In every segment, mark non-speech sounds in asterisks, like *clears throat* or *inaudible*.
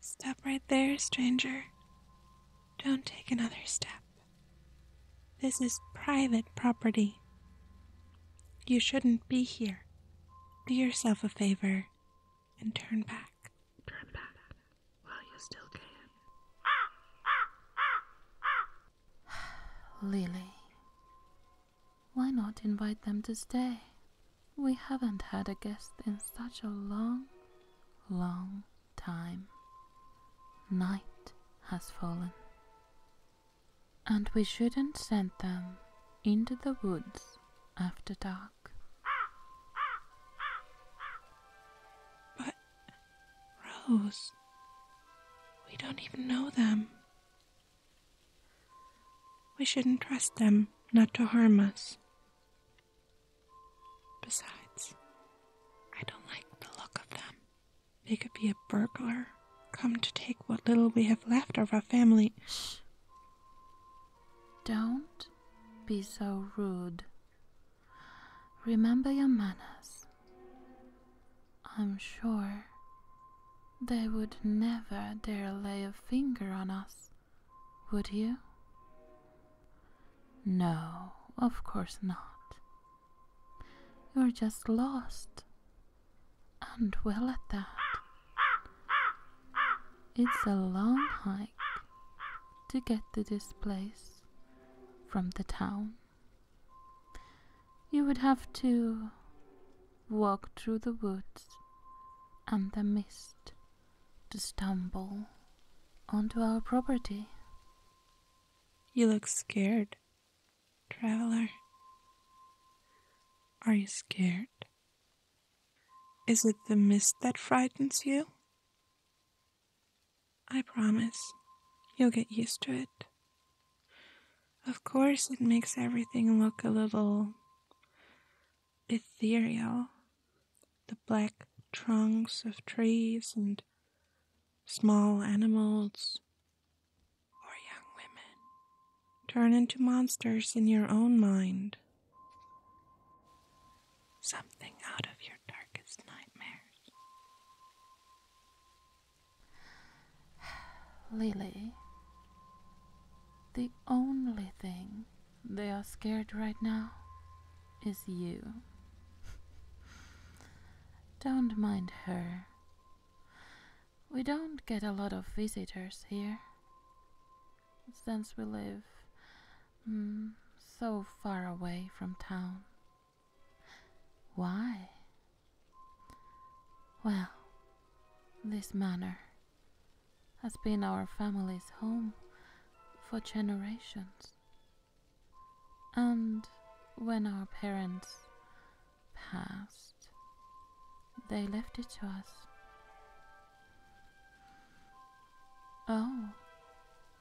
Stop right there, stranger. Don't take another step. This is private property. You shouldn't be here. Do yourself a favor and turn back. Turn back while you still can. *sighs* Lily, why not invite them to stay? We haven't had a guest in such a long, long time. Night has fallen. And we shouldn't send them into the woods after dark. But, Rose, we don't even know them. We shouldn't trust them not to harm us. Besides, I don't like the look of them. They could be a burglar come to take what little we have left of our family don't be so rude. Remember your manners. I'm sure they would never dare lay a finger on us, would you? No, of course not. You're just lost, and well at that. It's a long hike to get to this place from the town. You would have to walk through the woods and the mist to stumble onto our property. You look scared, traveler. Are you scared is it the mist that frightens you? I promise, you'll get used to it. Of course, it makes everything look a little ethereal. The black trunks of trees and small animals or young women turn into monsters in your own mind. Something out of your darkest nightmares. *sighs* Lily, the only thing they are scared right now is you. *laughs* don't mind her. We don't get a lot of visitors here since we live mm, so far away from town. Why? Well, this manor has been our family's home for generations. And when our parents passed, they left it to us Oh,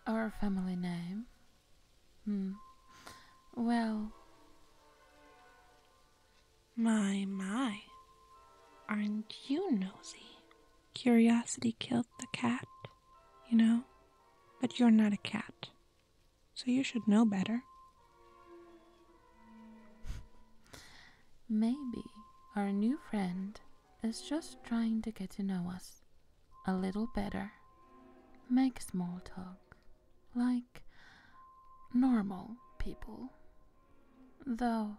our family name? Hmm. Well. My, my. Aren't you nosy? Curiosity killed the cat, you know? But you're not a cat, so you should know better. Maybe our new friend is just trying to get to know us a little better. Make small talk like normal people. Though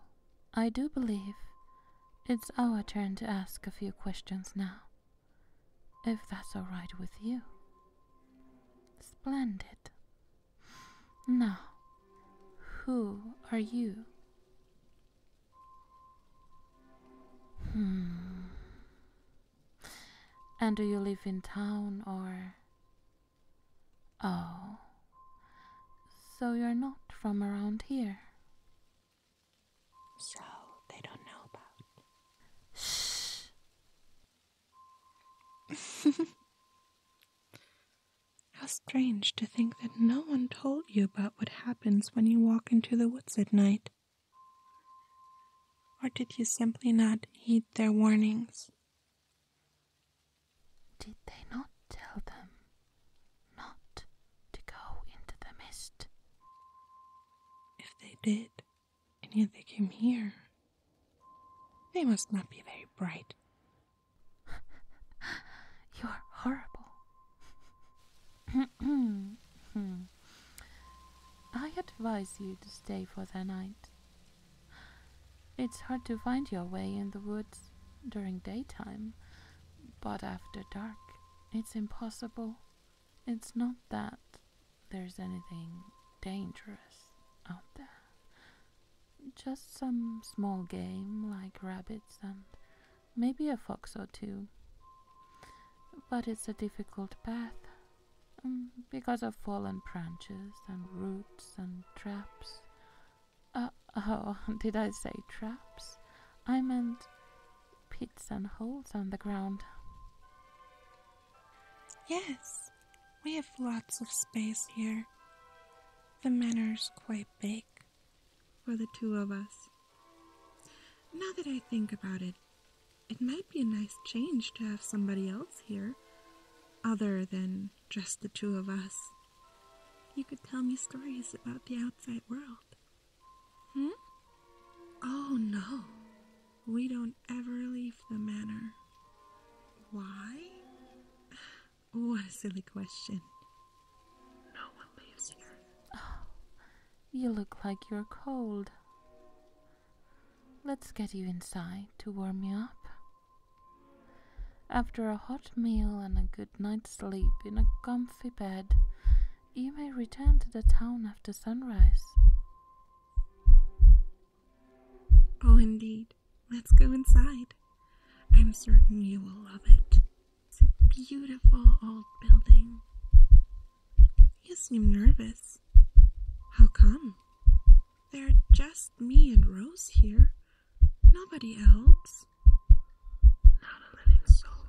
I do believe it's our turn to ask a few questions now, if that's all right with you. Splendid. Now, who are you Hmm. And do you live in town or. Oh. So you're not from around here. So they don't know about. Shh. *laughs* How strange to think that no one told you about what happens when you walk into the woods at night. Or did you simply not heed their warnings? Did they not tell them not to go into the mist? If they did, and yet they came here, they must not be very bright *laughs* You're horrible. *clears throat* I advise you to stay for the night. It's hard to find your way in the woods during daytime, but after dark, it's impossible. It's not that there's anything dangerous out there, just some small game like rabbits and maybe a fox or two. But it's a difficult path um, because of fallen branches and roots and traps. Uh, oh, *laughs* did I say traps? I meant pits and holes on the ground. Yes, we have lots of space here. The manor's quite big for the two of us. Now that I think about it, it might be a nice change to have somebody else here, other than just the two of us. You could tell me stories about the outside world. Hmm? Oh no, we don't ever leave the manor. Why? What a silly question. No one lives here. Oh, you look like you're cold. Let's get you inside to warm you up. After a hot meal and a good night's sleep in a comfy bed, you may return to the town after sunrise. Oh, indeed. Let's go inside. I'm certain you will love it. It's a beautiful old building. You seem nervous. How come? There are just me and Rose here. Nobody else. Not a living soul.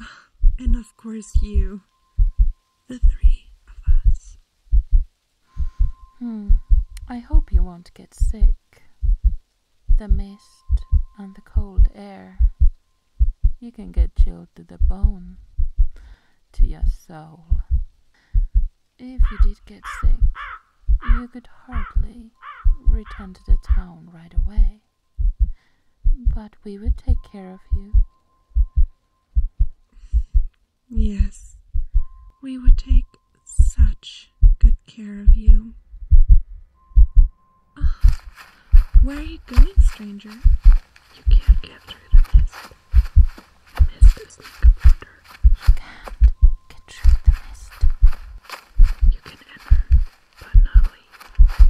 *sighs* And of course, you. The three of us. Hmm. I hope you won't get sick the mist and the cold air. You can get chilled to the bone, to your soul. If you did get sick, you could hardly return to the town right away. But we would take care of you. Yes, we would take such good care of you. Oh, where are you going, stranger? You can't get through the mist. mist is like water. You can't get through the mist. You can enter, but not leave.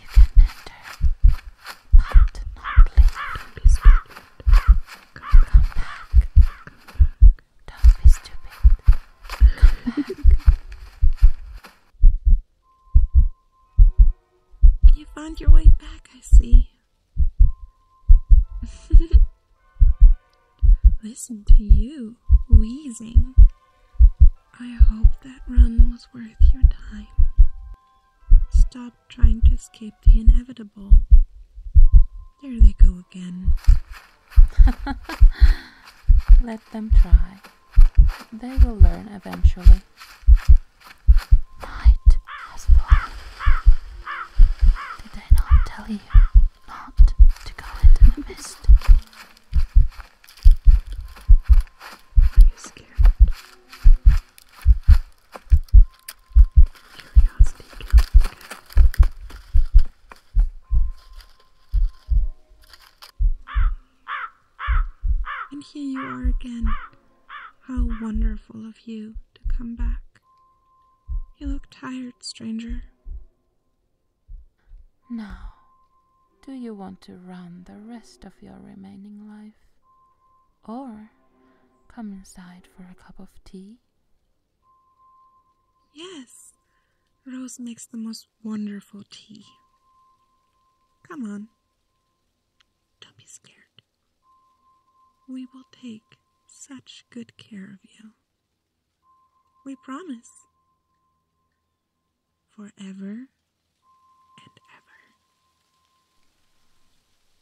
You can enter, but not leave. Don't be scared. Come, back. Come back. Don't be stupid. You found your way back, I see. *laughs* Listen to you wheezing. I hope that run was worth your time. Stop trying to escape the inevitable. There they go again. *laughs* Let them try. They will learn eventually. Night has Did I not tell you not to go into the mist? Are you scared? Curiosity and here you are again. How wonderful of you to come back. You look tired, stranger. Now, do you want to run the rest of your remaining life? Or come inside for a cup of tea? Yes, Rose makes the most wonderful tea. Come on. Don't be scared. We will take such good care of you. We promise. Forever and ever.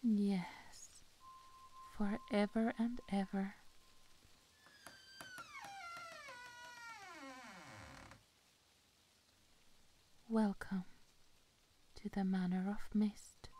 Yes, forever and ever. Welcome to the Manor of Mist.